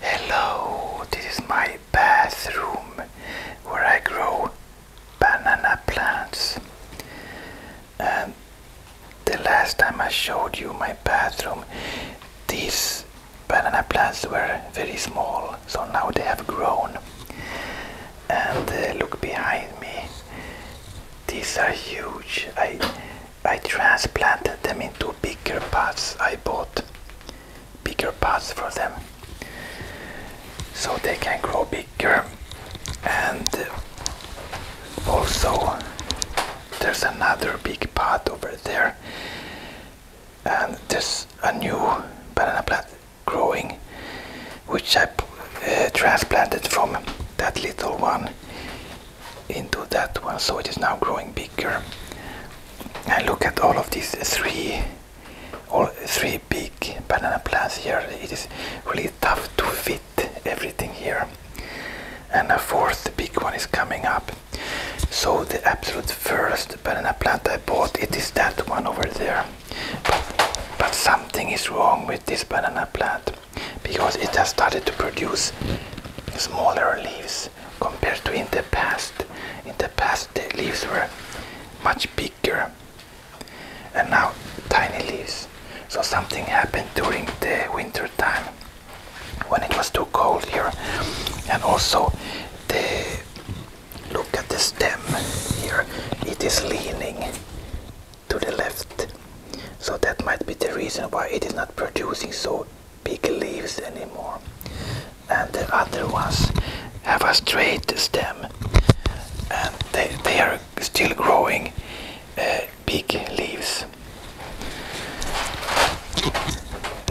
Hello, this is my bathroom where I grow banana plants. And um, the last time I showed you my bathroom, these banana plants were very small, so now they have grown. And uh, look behind me, these are huge. I I transplanted them into bigger pots. I bought bigger pots for them so they can grow bigger and also there's another big pot over there and there's a new banana plant growing which I uh, transplanted from that little one into that one so it is now growing bigger and look at all of these three all three big banana plants here it is really tough to fit everything here and a fourth big one is coming up so the absolute first banana plant I bought it is that one over there but, but something is wrong with this banana plant because it has started to produce smaller leaves compared to in the past. In the past, the leaves were much bigger and now tiny leaves. So something happened during the winter time when it was too cold here. And also the look at the stem here, it is leaning to the left. So that might be the reason why it is not producing so big leaves anymore. And the other ones have a straight stem and they, they are still growing uh, big leaves.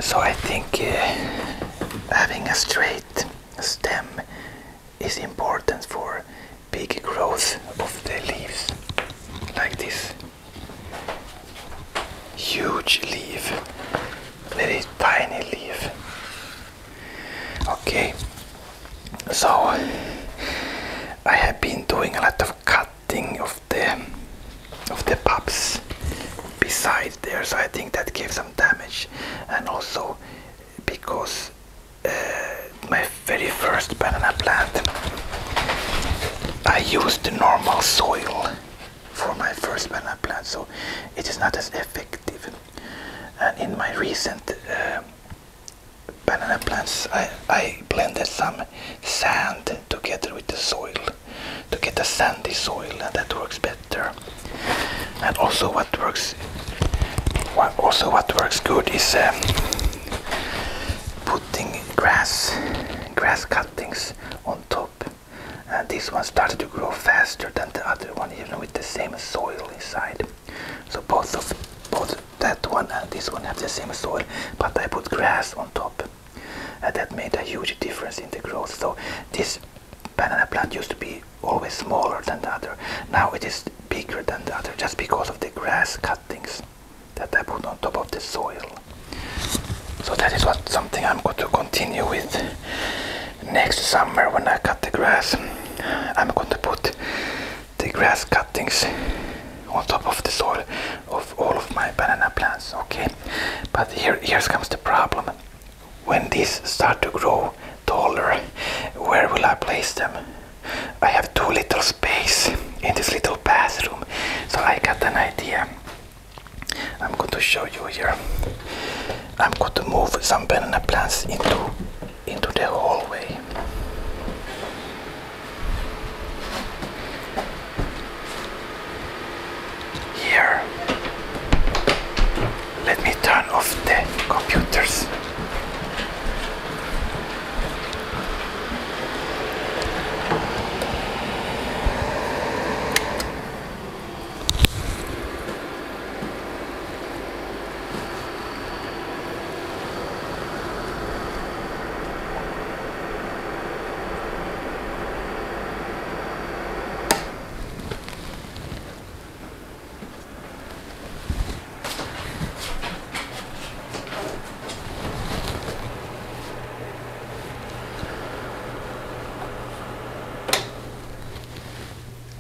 So I think uh, having a straight stem is important for big growth of the leaves like this huge leaf very tiny leaf okay so I have been doing a lot of cutting of the of the pups beside there so I think that gave some damage and also because my very first banana plant, I used the normal soil for my first banana plant, so it is not as effective. And in my recent uh, banana plants, I, blended some sand together with the soil to get a sandy soil, and that works better. And also, what works, also what works good is uh, putting grass, grass cuttings on top. And this one started to grow faster than the other one, even with the same soil inside. So both of both that one and this one have the same soil, but I put grass on top. And that made a huge difference in the growth. So this banana plant used to be always smaller than the other. Now it is bigger than the other just because of the grass cuttings that I put on top of the soil. So that is what something I'm going to continue with next summer when I cut the grass. I'm going to put the grass cuttings on top of the soil of all of my banana plants. Okay, but here here comes the problem. When these start to grow taller, where will I place them? I have too little space in this little bathroom, so I got an idea. I'm going to show you here. I'm going to move some banana plants into into the hallway here let me turn off the computers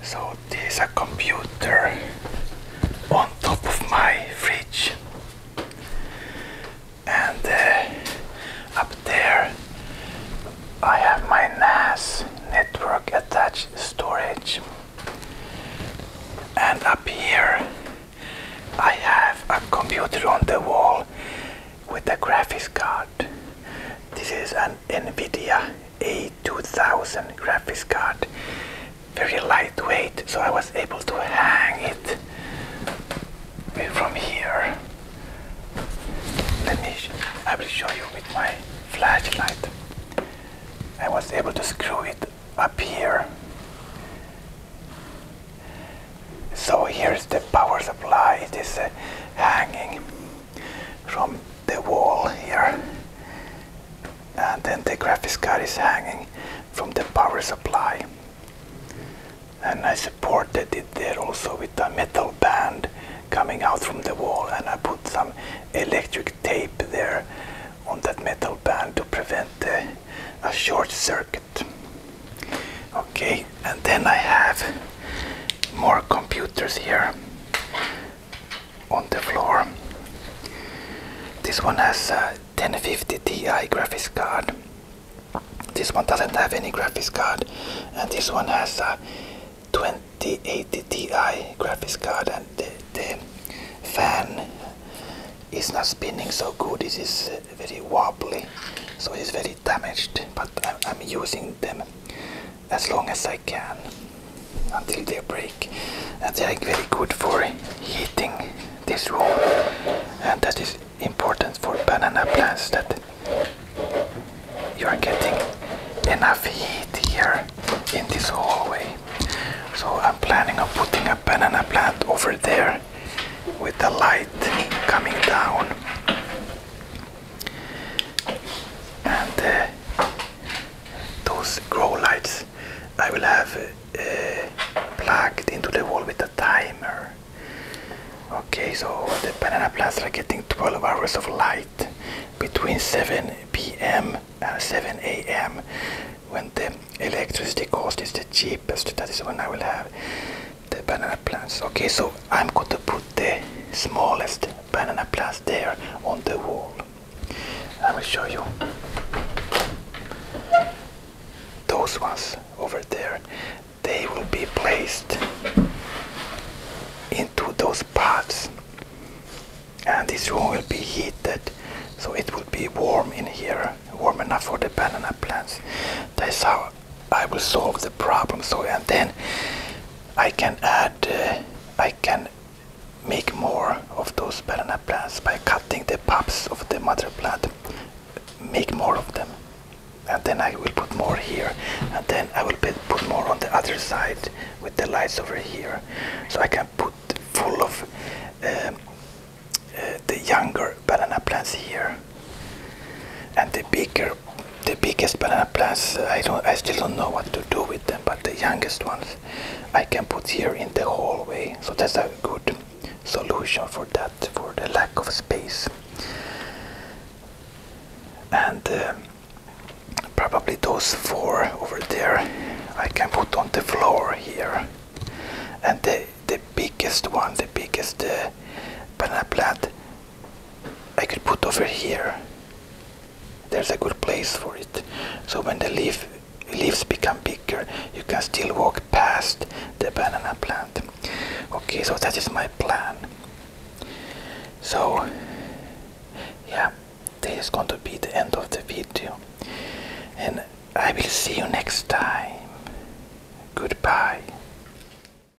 so there's a computer on top of my fridge and uh, up there I have my NAS network attached storage and up here I have a computer on the wall with a graphics card. This is an NVIDIA A2000 graphics card. Very lightweight so I was able to hang it from here let me I will show you with my flashlight I was able to screw it up here so here's the power supply it is uh, hanging from the wall here and then the graphics card is hanging from the power supply and I supported it there also with a metal band coming out from the wall and I put some electric tape there on that metal band to prevent a short circuit. Okay, and then I have more computers here on the floor. This one has a uh, 1050 Ti graphics card. This one doesn't have any graphics card, and this one has a 2080 Ti graphics card, and the, fan is not spinning so good. It is uh, very wobbly, so it's very damaged. But I'm using them as long as I can until they break and they are very good for heating this room and that is important for banana plants that you are getting enough heat here in this hallway so I'm planning on putting a banana plant over there with the light coming down and uh, those grow lights I will have uh, plugged into the wall with a timer. Okay, so the banana plants are getting 12 hours of light between 7 p.m. and 7 a.m. when the electricity cost is the cheapest. That is when I will have the banana plants. Okay, so I'm going to put the smallest banana plants there on the wall. I will show you those ones over there. They will be placed into those pots, and this room will be heated, so it will be warm in here, warm enough for the banana plants. That's how I will solve the problem. So and then I can add, uh, I can make more of those banana plants by cutting the pups of the mother plant make more of them and then I will put more here and then I will put more on the other side with the lights over here so I can put full of um, uh, the younger banana plants here and the bigger the biggest banana plants I don't I still don't know what to do with them but the youngest ones I can put here in the hallway so that's a good solution for that for the lack of space and uh, probably those four over there I can put on the floor here and the the biggest one the biggest uh, banana plant I could put over here. There's a good place for it. So when the leaf leaves become bigger, you can still walk past the banana plant. Okay, so that is my plan. So yeah, this is going to be the end of the video. And I will see you next time. Goodbye.